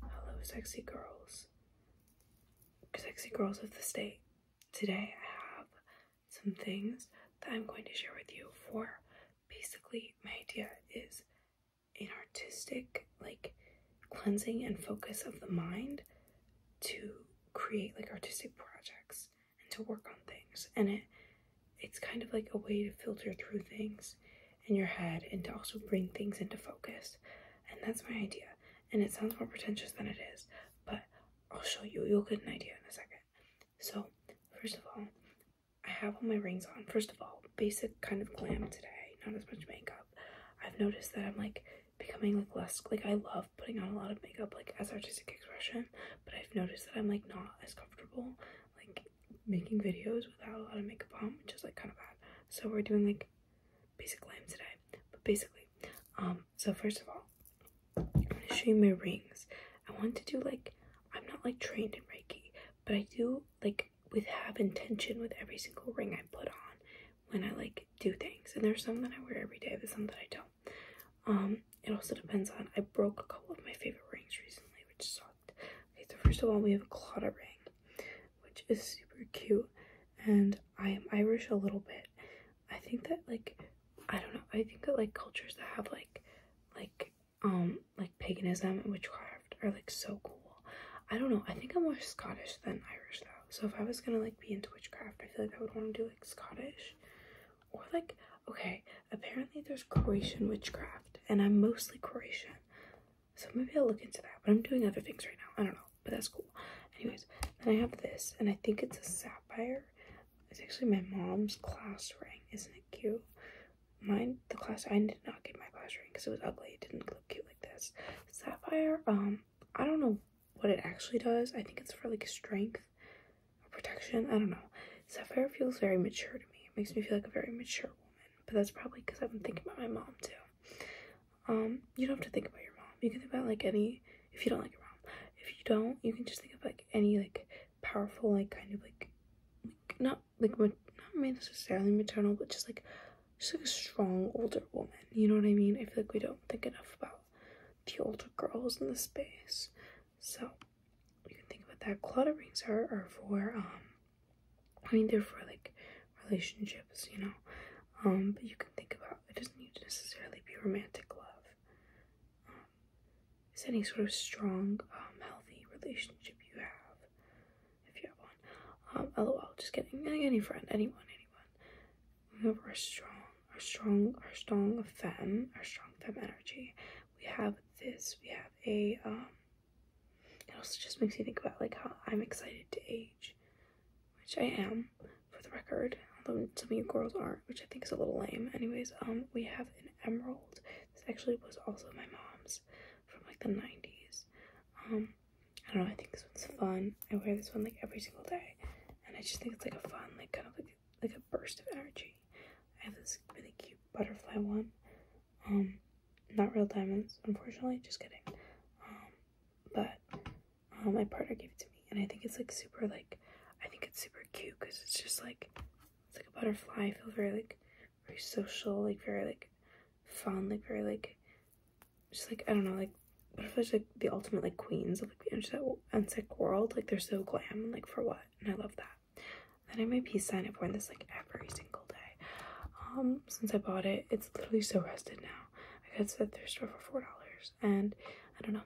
Hello, sexy girls. Sexy girls of the state. Today I have some things that I'm going to share with you for basically my idea is an artistic like cleansing and focus of the mind to create like artistic projects and to work on things and it it's kind of like a way to filter through things in your head and to also bring things into focus. And that's my idea. And it sounds more pretentious than it is, but I'll show you. You'll get an idea in a second. So, first of all, I have all my rings on. First of all, basic kind of glam today, not as much makeup. I've noticed that I'm like becoming like less like I love putting on a lot of makeup like as artistic expression, but I've noticed that I'm like not as comfortable like making videos without a lot of makeup on, which is like kind of bad. So we're doing like basic glam today. But basically, um, so first of all, I'm gonna show you my rings. I want to do like I'm not like trained in Reiki, but I do like with have intention with every single ring I put on when I like do things. And there's some that I wear every day, there's some that I don't. Um, it also depends on I broke a couple of my favorite rings recently, which is Okay, so first of all, we have a Claudia Ring, which is super cute, and I am Irish a little bit. I think that like, I don't know. I think that like cultures that have like, like um like paganism and witchcraft are like so cool. I don't know. I think I'm more Scottish than Irish though. So if I was gonna like be into witchcraft, I feel like I would want to do like Scottish, or like okay. Apparently there's Croatian witchcraft, and I'm mostly Croatian. So maybe I'll look into that. But I'm doing other things right now. I don't know. But that's cool. Anyways, then I have this, and I think it's a sapphire. It's actually my mom's class ring. Isn't it cute? Mine, the class, I did not get my class ring because it was ugly. It didn't look cute like this. Sapphire, um, I don't know what it actually does. I think it's for like strength protection. I don't know. Sapphire feels very mature to me. It makes me feel like a very mature woman but that's probably because i have been thinking about my mom too. Um, you don't have to think about your mom. You can think about like any if you don't like your mom. If you don't, you can just think of like any like powerful like kind of like, like not like not necessarily maternal, but just like just like a strong older woman. You know what I mean? I feel like we don't think enough about the older girls in the space. So you can think about that. Claudia rings her or for um I mean, they're for like relationships, you know. Um, but you can think about it doesn't need to necessarily be romantic love. it's any sort of strong, um, healthy relationship you have, if you have one. Um, lol, just kidding. Any friend, anyone, anyone. Remember, our strong, our strong, our strong fem, our strong fem energy. We have this. We have a um, it also just makes me think about like how I'm excited to age, which I am, for the record. Although some of you girls aren't, which I think is a little lame. Anyways, um, we have an emerald. This actually was also my mom's from like the 90s. Um, I don't know. I think this one's fun. I wear this one like every single day, and I just think it's like a fun, like kind of like like a burst of energy. I have this really cute butterfly one. Um, not real diamonds, unfortunately, just kidding. Um, but um, my partner gave it to me, and I think it's like super, like, I think it's super cute because it's just like, it's like a butterfly. I feel very, like, very social, like, very, like, fun, like, very, like, just like, I don't know, like, butterflies like the ultimate like queens of like the insect, insect world like they're so glam and like for what and i love that then I have my peace sign. I've worn this like every single day. Um, since I bought it, it's literally so rusted now. I got it at thrift store for four dollars, and I don't know.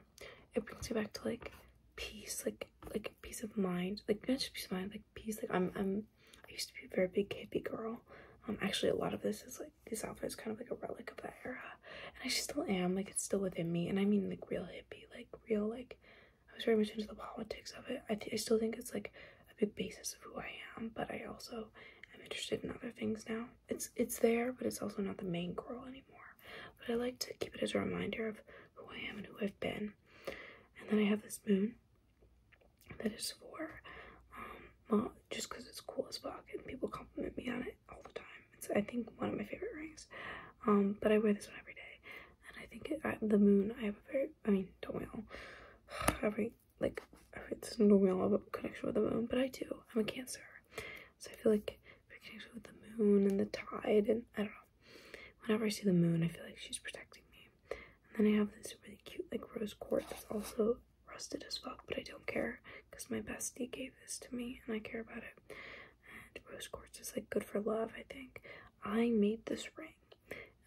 It brings me back to like peace, like like peace of mind, like not peace of mind, like peace. Like I'm I'm I used to be a very big hippie girl. Um, actually, a lot of this is like this outfit is kind of like a relic of that era, and I still am. Like it's still within me, and I mean like real hippie, like real like I was very much into the politics of it. I, I still think it's like a big basis of who I am, but I also am interested in other things now. It's it's there, but it's also not the main girl anymore. But I like to keep it as a reminder of who I am and who I've been. And then I have this moon that is for um, just because it's cool as fuck and people compliment me on it all the time. It's I think one of my favorite rings. Um, but I wear this one every day and I think at uh, the moon, I have a very, I mean, don't we all, every, like, every single we all have a connection with the moon, but I do, I'm a cancer, so I feel like every connection with the moon and the tide, and I don't know, whenever I see the moon, I feel like she's protecting me, and then I have this really cute, like, rose quartz that's also rusted as well. but I don't care, because my bestie gave this to me, and I care about it, and rose quartz is, like, good for love, I think, I made this ring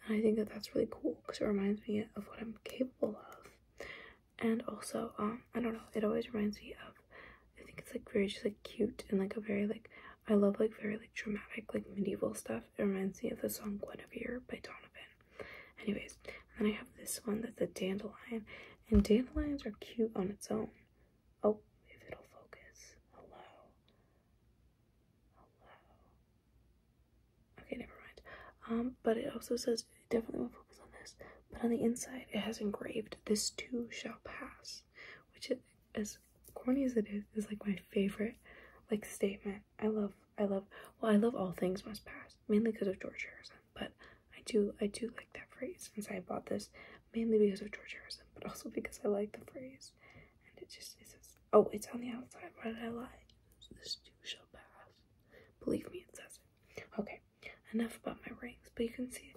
and I think that that's really cool because it reminds me of what I'm capable of. And also, um, I don't know, it always reminds me of, I think it's like very just like cute and like a very like, I love like very like dramatic, like medieval stuff. It reminds me of the song Guinevere by Donovan. Anyways, then I have this one that's a dandelion. And dandelions are cute on its own. Oh, if it'll focus. Hello. Hello. Okay, never mind. Um, but it also says definitely will focus on this. But on the inside, it has engraved "This too shall pass," which, is, as corny as it is, is like my favorite like statement. I love, I love. Well, I love all things must pass, mainly because of George Harrison. But I do, I do like that phrase. Since I bought this, mainly because of George Harrison, but also because I like the phrase. And it just says, oh, it's on the outside. Why did I lie? This too shall pass. Believe me, it says it. Okay, enough about my rings. But you can see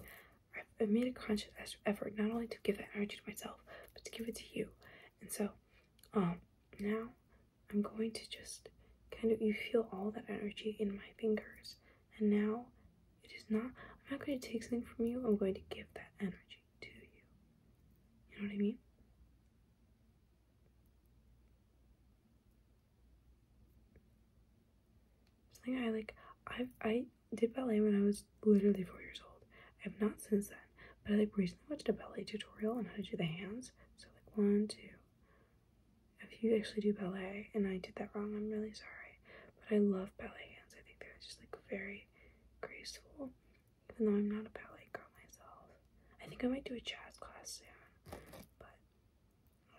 I've made a conscious effort not only to give that energy to myself, but to give it to you. And so, um, now I'm going to just kind of, you feel all that energy in my fingers. And now it is not, I'm not going to take something from you. I'm going to give that energy energy you. You know what I mean? Something I like, i I did ballet when I was literally four years old. I have not since then, but I like recently watched a ballet tutorial on how to do the hands. So like one, two. If you actually do ballet, and I did that wrong, I'm really sorry. But I love ballet hands. I think they're just like very graceful even though I'm not a ballet girl myself. I think I might do a jazz class soon, but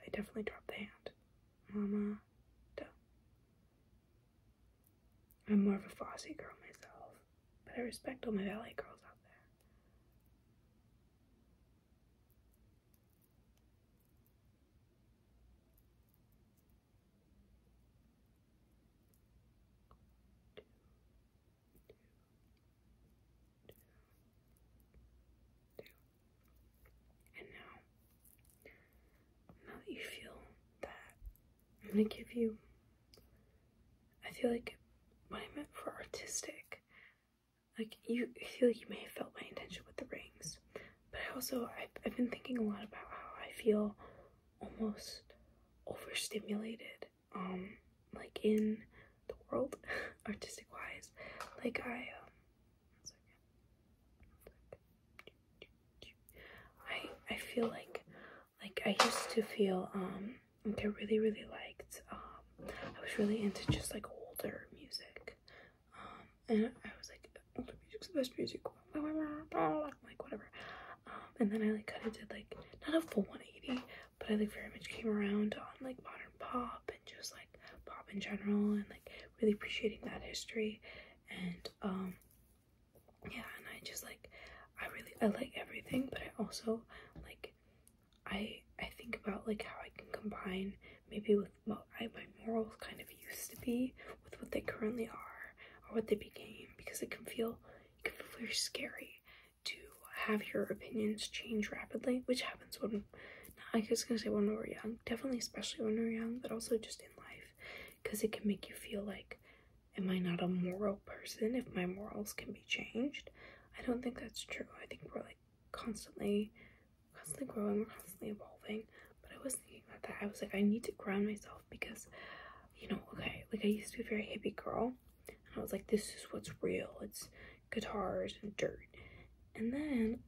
I definitely drop the hand. Mama, duh. I'm more of a Fosse girl myself, but I respect all my ballet girls out there. And now, now that you feel that, I'm gonna give you. I feel like what I meant for artistic, like you feel you may have felt my intention with the rings, but I also I've been thinking a lot about how I feel almost overstimulated um like in the world artistic wise like i um i i feel like like i used to feel um like i really really liked um i was really into just like older music um and i was like older music's the best music like whatever um, and then I like kind of did like not a full 180, but I like very much came around on like modern pop and just like pop in general and like really appreciating that history. And um, yeah, and I just like I really I like everything, but I also like I I think about like how I can combine maybe with what my morals kind of used to be with what they currently are or what they became because it can feel it can feel very scary to have your opinions change rapidly, which happens when I was gonna say when we are young, definitely especially when we are young, but also just in life, because it can make you feel like, am I not a moral person if my morals can be changed? I don't think that's true. I think we're like constantly, constantly growing, we're constantly evolving. But I was thinking about that. I was like, I need to ground myself because you know okay like i used to be very hippie girl and i was like this is what's real it's guitars and dirt and then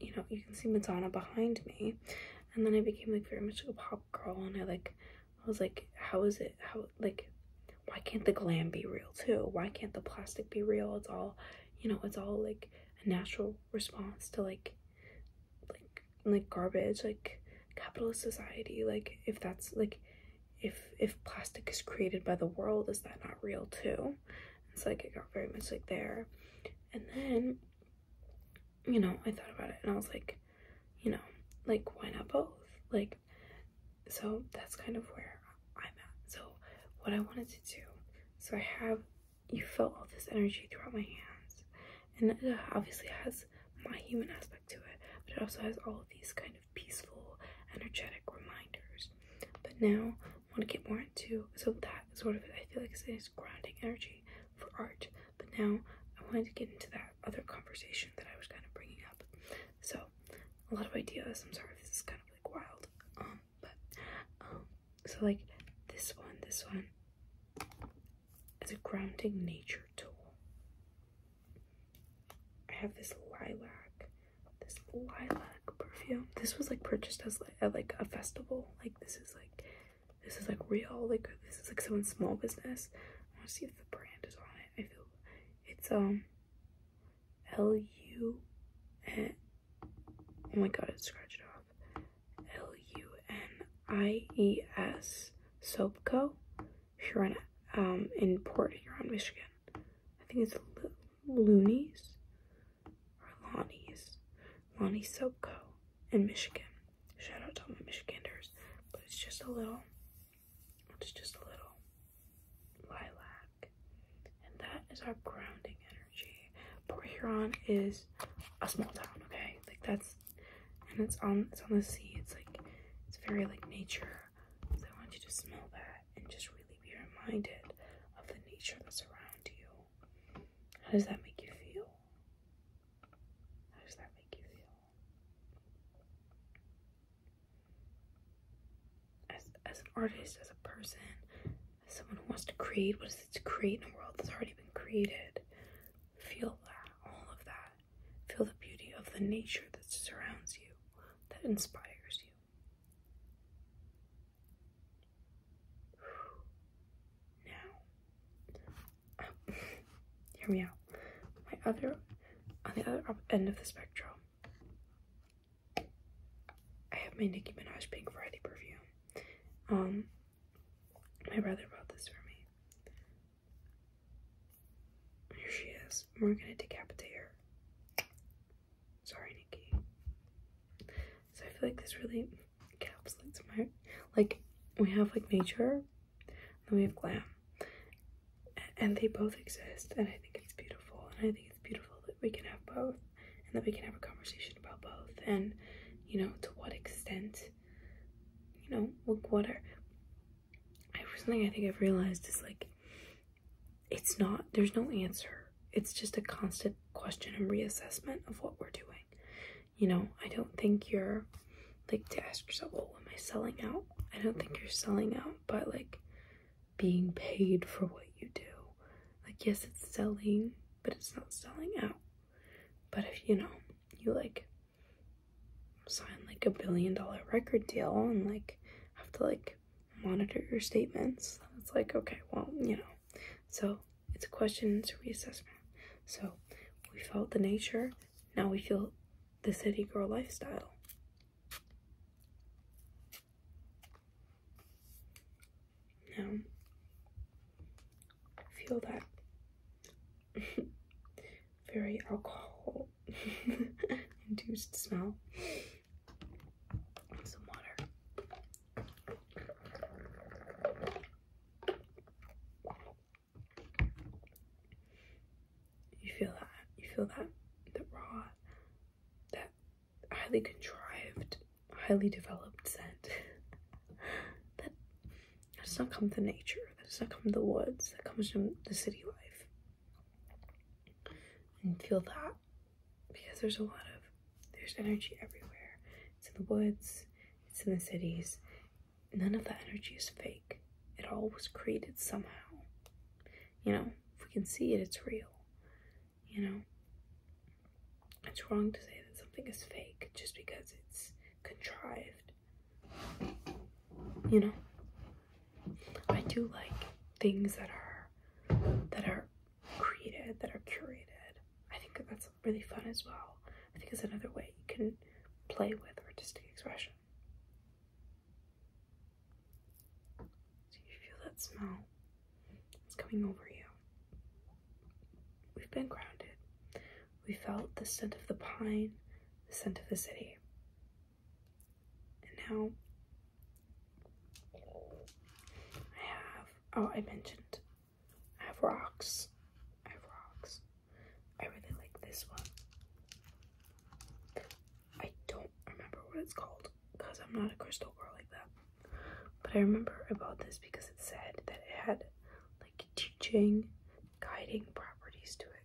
you know you can see madonna behind me and then i became like very much like a pop girl and i like i was like how is it how like why can't the glam be real too why can't the plastic be real it's all you know it's all like a natural response to like like like garbage like capitalist society like if that's like if if plastic is created by the world is that not real too it's like it got very much like there and then you know i thought about it and i was like you know like why not both like so that's kind of where i'm at so what i wanted to do so i have you felt all this energy throughout my hands and it obviously has my human aspect to it, but it also has all of these kind of peaceful, energetic reminders. But now I want to get more into so that sort of I feel like it's grounding energy for art. But now I wanted to get into that other conversation that I was kind of bringing up. So a lot of ideas. I'm sorry this is kind of like wild. Um, but um, so like this one, this one, as a grounding nature tool. I have this lilac, this lilac perfume. This was like purchased as like, a festival. Like this is like this is like real. Like this is like someone small business. I want to see if the brand is on it. I feel it's um L U N. Oh my god, it scratched off. L-U-N-I-E-S, Soap Co. If you're in, um, in Port Huron, Michigan. I think it's Loonies or Lonnie's. Lonnie Soap Co. in Michigan. Shout out to all my Michiganders. But it's just a little, it's just a little lilac. And that is our grounding energy. Port Huron is a small town, okay? Like that's and it's on it's on the sea. It's like it's very like nature. So I want you to smell that and just really be reminded of the nature that's around you. How does that make you feel? How does that make you feel? As as an artist, as a person, as someone who wants to create, what is it to create in a world that's already been created? Feel that, all of that. Feel the beauty of the nature that surrounds you, that inspires you. Now, um, hear me out. My other, on the other end of the spectrum, I have my Nicki Minaj Pink Friday perfume. Um, my brother bought this for me. Here she is. We're gonna decapitate her. Sorry, Nikki. So I feel like this really caps like smart. like we have like major, and we have glam. And they both exist, and I think it's beautiful. And I think it's beautiful that we can have both, and that we can have a conversation about both, and you know, to what extent you know, look water. Something I think I've realized is like, it's not, there's no answer. It's just a constant question and reassessment of what we're doing. You know, I don't think you're like to ask yourself, well, oh, am I selling out? I don't think you're selling out by like being paid for what you do. Like, yes, it's selling, but it's not selling out. But if you know, you like sign like a billion dollar record deal and like have to like monitor your statements. It's like, okay, well, you know. So it's a question, it's a reassessment. So we felt the nature, now we feel the city girl lifestyle. Now, feel that very alcohol induced smell. some water. You feel that? You feel that? The raw, that highly contrived, highly developed scent. that that does not come from nature. That does not come from the woods. That comes from the city life. And feel that because there's a lot of there's energy everywhere. It's in the woods. It's in the cities. None of that energy is fake. It all was created somehow. You know, if we can see it, it's real. You know, it's wrong to say that something is fake just because it's contrived. You know? I do like things that are that are created, that are curated. I think that's really fun as well. I think it's another way you can play with artistic expression. Do you feel that smell? It's coming over you. We've been grounded. We felt the scent of the pine, the scent of the city. And now I have, oh, I mentioned, I have rocks. I have rocks. I really like this one. I don't remember what it's called because I'm not a crystal girl like that. But I remember about this because it said that it had like teaching, guiding properties to it.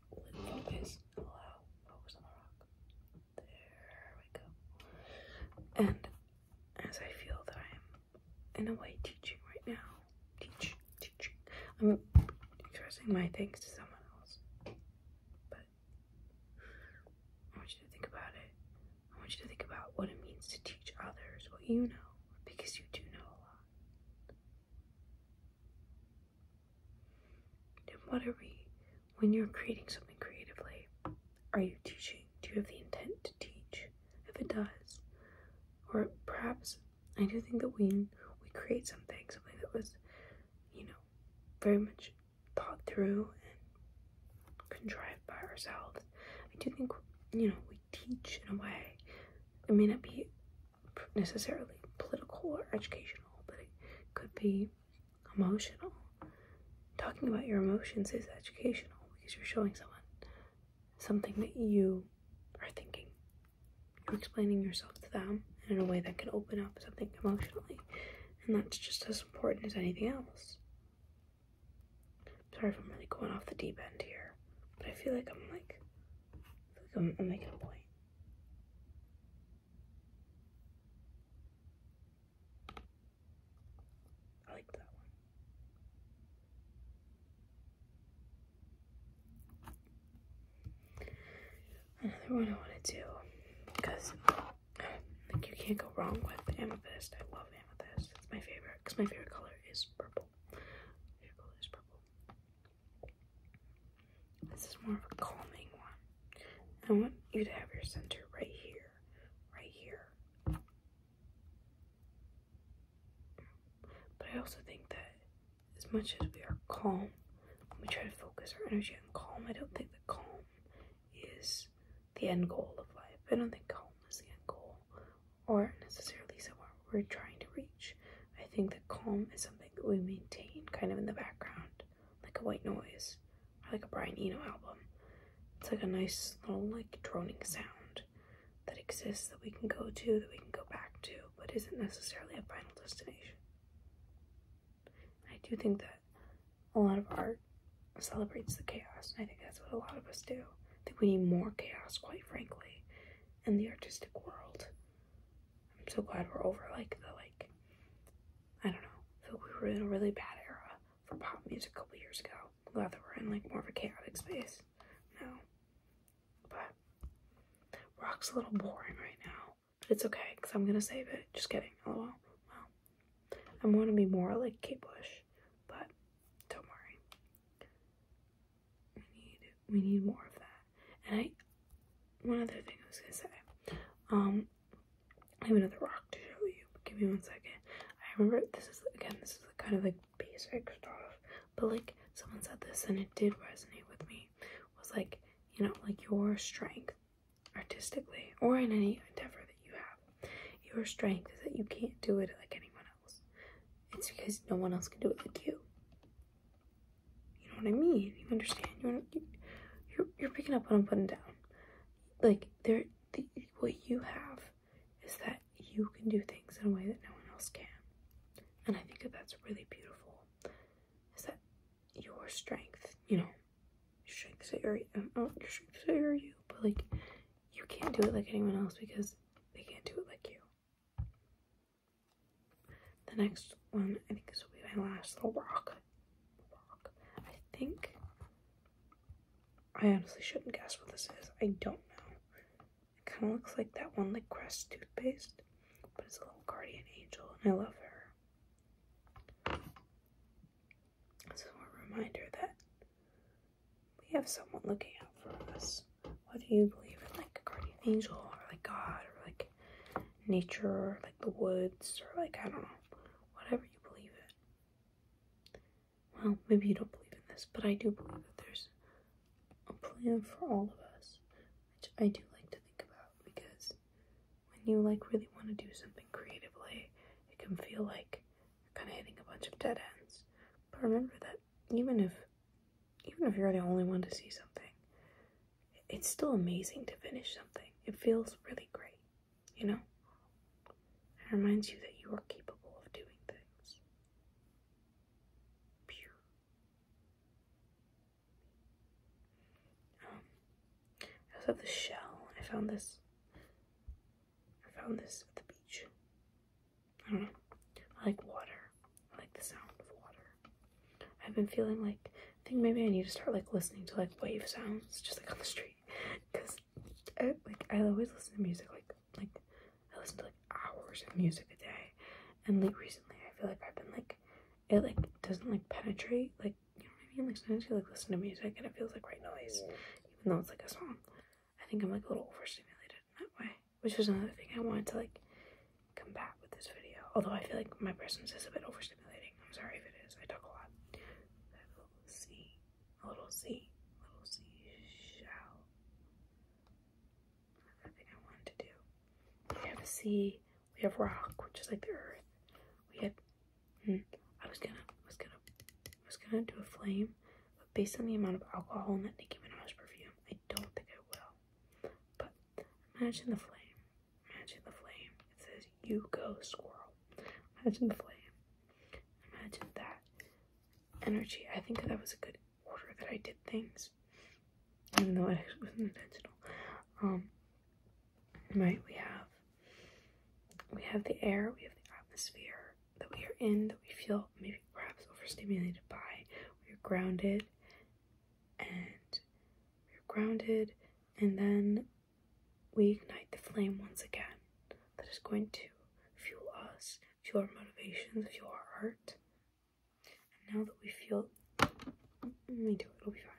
And as I feel that I am in a way teaching right now, Teaching, teaching. I'm expressing my thanks to someone else, but I want you to think about it. I want you to think about what it means to teach others what you know because you do know a lot. Then what are we, when you're creating something creatively, are you teaching? Do you have the intent to teach? If it does, or perhaps I do think that when we create something, something that was, you know, very much thought through and contrived by ourselves, I do think, you know, we teach in a way. It may not be necessarily political or educational, but it could be emotional. Talking about your emotions is educational because you're showing someone something that you are thinking. You're explaining yourself to them in a way that can open up something emotionally. And that's just as important as anything else. Sorry if I'm really going off the deep end here, but I feel like I'm like, like I'm, I'm making a point. I like that one. Another one I want to do because like you can't go wrong with amethyst. I love amethyst. It's my favorite because my favorite color is purple purple. is purple. This is more of a calming one. I want you to have your center right here, right here. But I also think that as much as we are calm, we try to focus our energy on calm, I don't think the calm is the end goal of life. I don't think calm is the end goal or necessarily somewhere we're trying to reach. I think that calm is something that we maintain kind of in the background, like a white noise, like a Brian Eno album. It's like a nice little like droning sound that exists that we can go to, that we can go back to, but isn't necessarily a final destination. I do think that a lot of art celebrates the chaos, and I think that's what a lot of us do. I think we need more chaos, quite frankly, in the artistic world. I'm so glad we're over like the like I don't know. I feel we were in a really bad era for pop music a couple years ago. glad that we're in like more of a chaotic space now. But rock's a little boring right now. But it's okay, because I'm gonna save it. Just kidding. LOL. Oh, well, I wanna be more like k Bush, but don't worry. We need we need more of that. And I one other thing I was gonna say. Um I have another rock to show you. Give me one second. I remember this is again this is kind of like basic stuff, but like someone said this and it did resonate with me. Was like you know like your strength artistically or in any endeavor that you have, your strength is that you can't do it like anyone else. It's because no one else can do it like you. You know what I mean? You understand? You you're you're picking up what I'm putting down. Like there, the, what you have is that you can do things in a way that no one else can, and I think that that's really beautiful. Is that your strength? You know, your strengths are um, oh, your strengths are you, but like you can't do it like anyone else because they can't do it like you. The next one, I think, this will be my last little rock. I think. I honestly shouldn't guess what this is. I don't know. It kind of looks like that one, like Crest toothpaste, but it's a little guardian angel, and I love her. This is a reminder that we have someone looking out for us. Whether you believe in like a guardian angel or like God or like nature or like the woods or like I don't know, whatever you believe in. Well, maybe you don't believe in this, but I do believe that there's a plan for all of us, which I do like to think about because when you like really want to do something creatively, it can feel like kind of hitting a bunch of dead ends but remember that even if even if you're the only one to see something, it's still amazing to finish something. It feels really great, you know? It reminds you that you are capable of doing things. Um, I was at the shell. I found this I found this at the beach. I don't know. I like water. I like the sound of water. I've been feeling like I think maybe I need to start like listening to like wave sounds just like on the street because like I always listen to music like like I listen to like hours of music a day and like recently I feel like I've been like it like doesn't like penetrate like you know what I mean like sometimes you like listen to music and it feels like white noise even though it's like a song I think I'm like a little overstimulated in that way, which was another thing I wanted to like combat with this video. Although I feel like my presence is a bit overstimulating. I'm sorry if it is. I talk a lot. I have a sea, a little sea, a little seashell. Another thing I wanted to do. We have a sea. We have rock, which is like the earth. We have. Hmm, I was gonna, I was gonna, I was gonna do a flame. But based on the amount of alcohol in that Nicki Minaj perfume, I don't think I will. But imagine the flame. Imagine the flame. It says, You go, squirrel. Imagine the flame. Imagine that energy. I think that was a good order that I did things. Even though it wasn't intentional. Um, right, we have we have the air, we have the atmosphere, that we are in that we feel maybe perhaps overstimulated by. We are grounded and we are grounded, and then we ignite the flame once again that is going to fuel us, fuel our motivations, fuel our art. And now that we feel, let me do it, it'll be fine.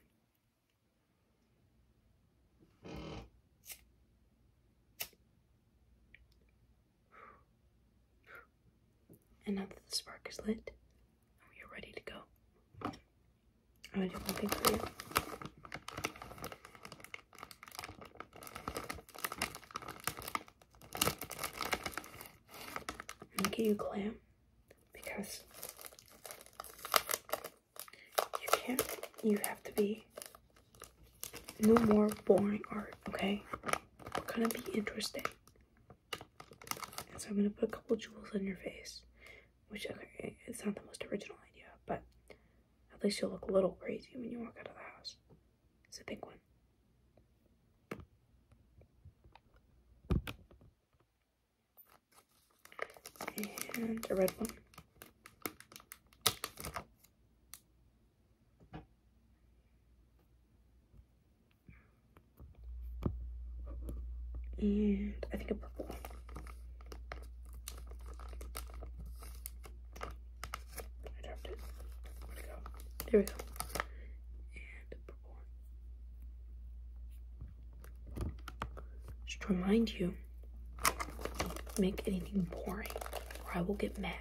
And now that the spark is lit, we are ready to go. I'm gonna do one thing for you. I'm gonna get you glam because you can't you have to be no more boring art, okay? We're gonna be interesting. so I'm gonna put a couple jewels on your face, which, okay, eh, it's not the most original idea, but at least you'll look a little crazy when you walk out of the house. It's a big one. And a red one and I think a purple. I dropped it. Where'd go? There we go. And a purple. Just to remind you, make anything boring or I will get mad.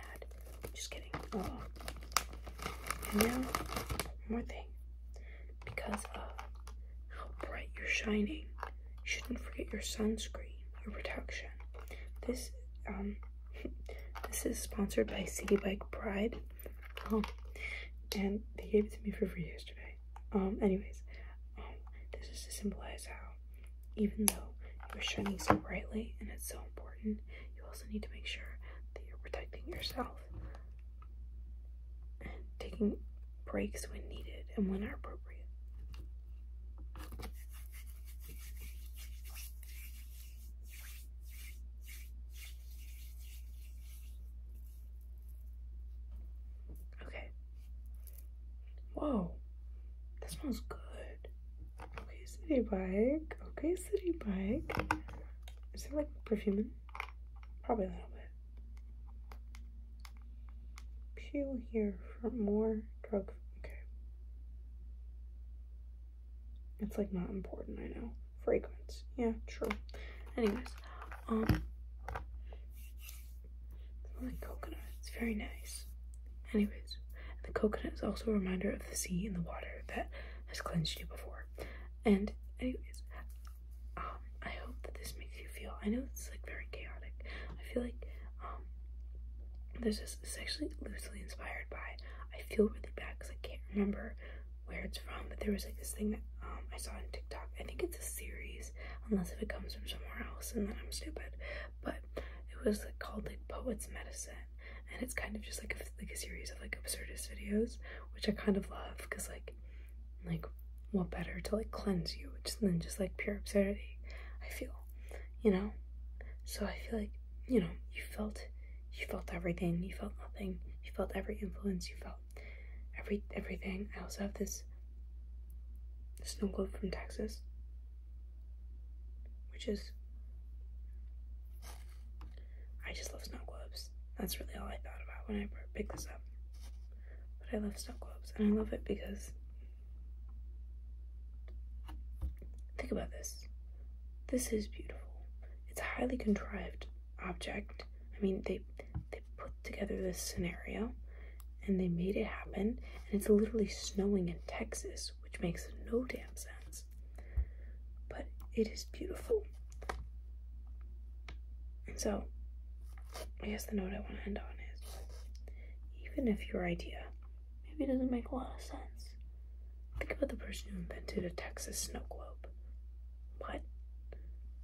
Just kidding. Oh. And now, one more thing. Because of how bright you're shining, you shouldn't forget your sunscreen or protection. This um this is sponsored by City Bike Pride. Oh, and they gave it to me for free yesterday. Um, anyways, um, this is to symbolize how even though you are shining so brightly and it's so important, you also need to make sure that you're protecting yourself and taking breaks when needed and when appropriate. Okay, Whoa, that smells good. Okay, city bike. Okay, city bike. Is it like perfume? Probably a little bit. Peel here for more drug. Okay. It's like not important, I know. Fragrance. Yeah, true. Anyways, um, like coconut. It's very nice. Anyways, the coconut is also a reminder of the sea and the water that has cleansed you before. And anyways, um, I hope that this makes you feel. I know it's like very chaotic. I feel like um, this. is actually loosely inspired by. I feel really bad because I can't remember where it's from, but there was like this thing that um, I saw on TikTok. I think it's a series, unless if it comes from somewhere else, and then I'm stupid but it was called like Poets Medicine, and it's kind of just like a, like a series of like absurdist videos, which I kind of love because like like what better to like cleanse you just than just like pure absurdity. I feel, you know, so I feel like you know you felt you felt everything, you felt nothing, you felt every influence, you felt every everything. I also have this snow globe from Texas. Which is, I just love snow globes. That's really all I thought about when I picked this up. But I love snow globes and I love it because, think about this. This is beautiful. It's a highly contrived object. I mean, they, they put together this scenario and they made it happen. And it's literally snowing in Texas, which makes no damn sense. But it is beautiful. so, I guess the note I want to end on is even if your idea maybe doesn't make a lot of sense, think about the person who invented a Texas snow globe. What?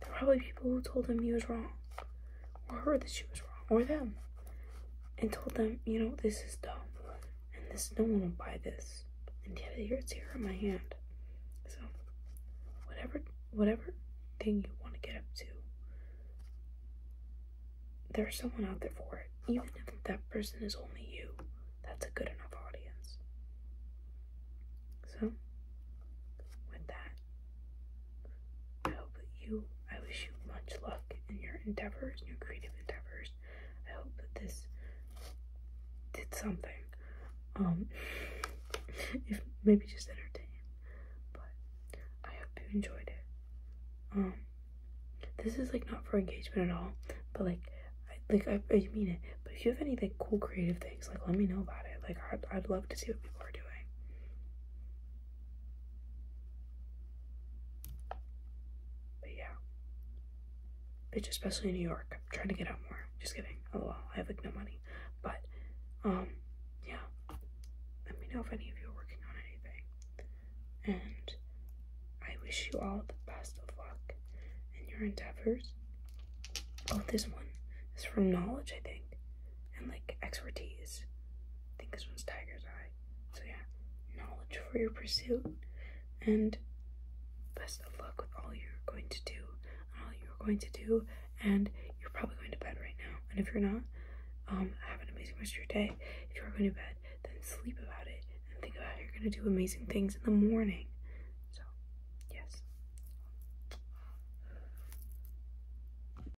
There are probably people who told him he was wrong or her that she was wrong, or them, and told them, you know, this is dumb, and this no one will buy this. And yet here it's here in my hand. So, whatever, whatever thing you want to get up to, there's someone out there for it. Even if that person is only you, that's a good enough audience. So, with that. I hope you, I wish you much luck in your endeavors, your creative endeavors. I hope that this did something. Um, if maybe just entertain, but I hope you enjoyed it. Um, this is like not for engagement at all, but like, I, like I, mean it. But if you have any like cool creative things, like let me know about it. Like i I'd love to see what people are doing. But yeah. Bitch, especially in New York. I'm trying to get out more. Just kidding. Oh well, I have like no money. But um yeah. Let me know if any of you are working on anything. And I wish you all the best of luck in your endeavors. Oh, this one is from knowledge, I think, and like expertise. I think this one's Tiger's Eye. So yeah, knowledge for your pursuit, and best of luck with all you're going to do, and all you're going to do, and you're probably going to bed right now. And if you're not, um, have an amazing rest of your day. If you are going to bed, then sleep about it and think about you're going to do amazing things in the morning. So, yes.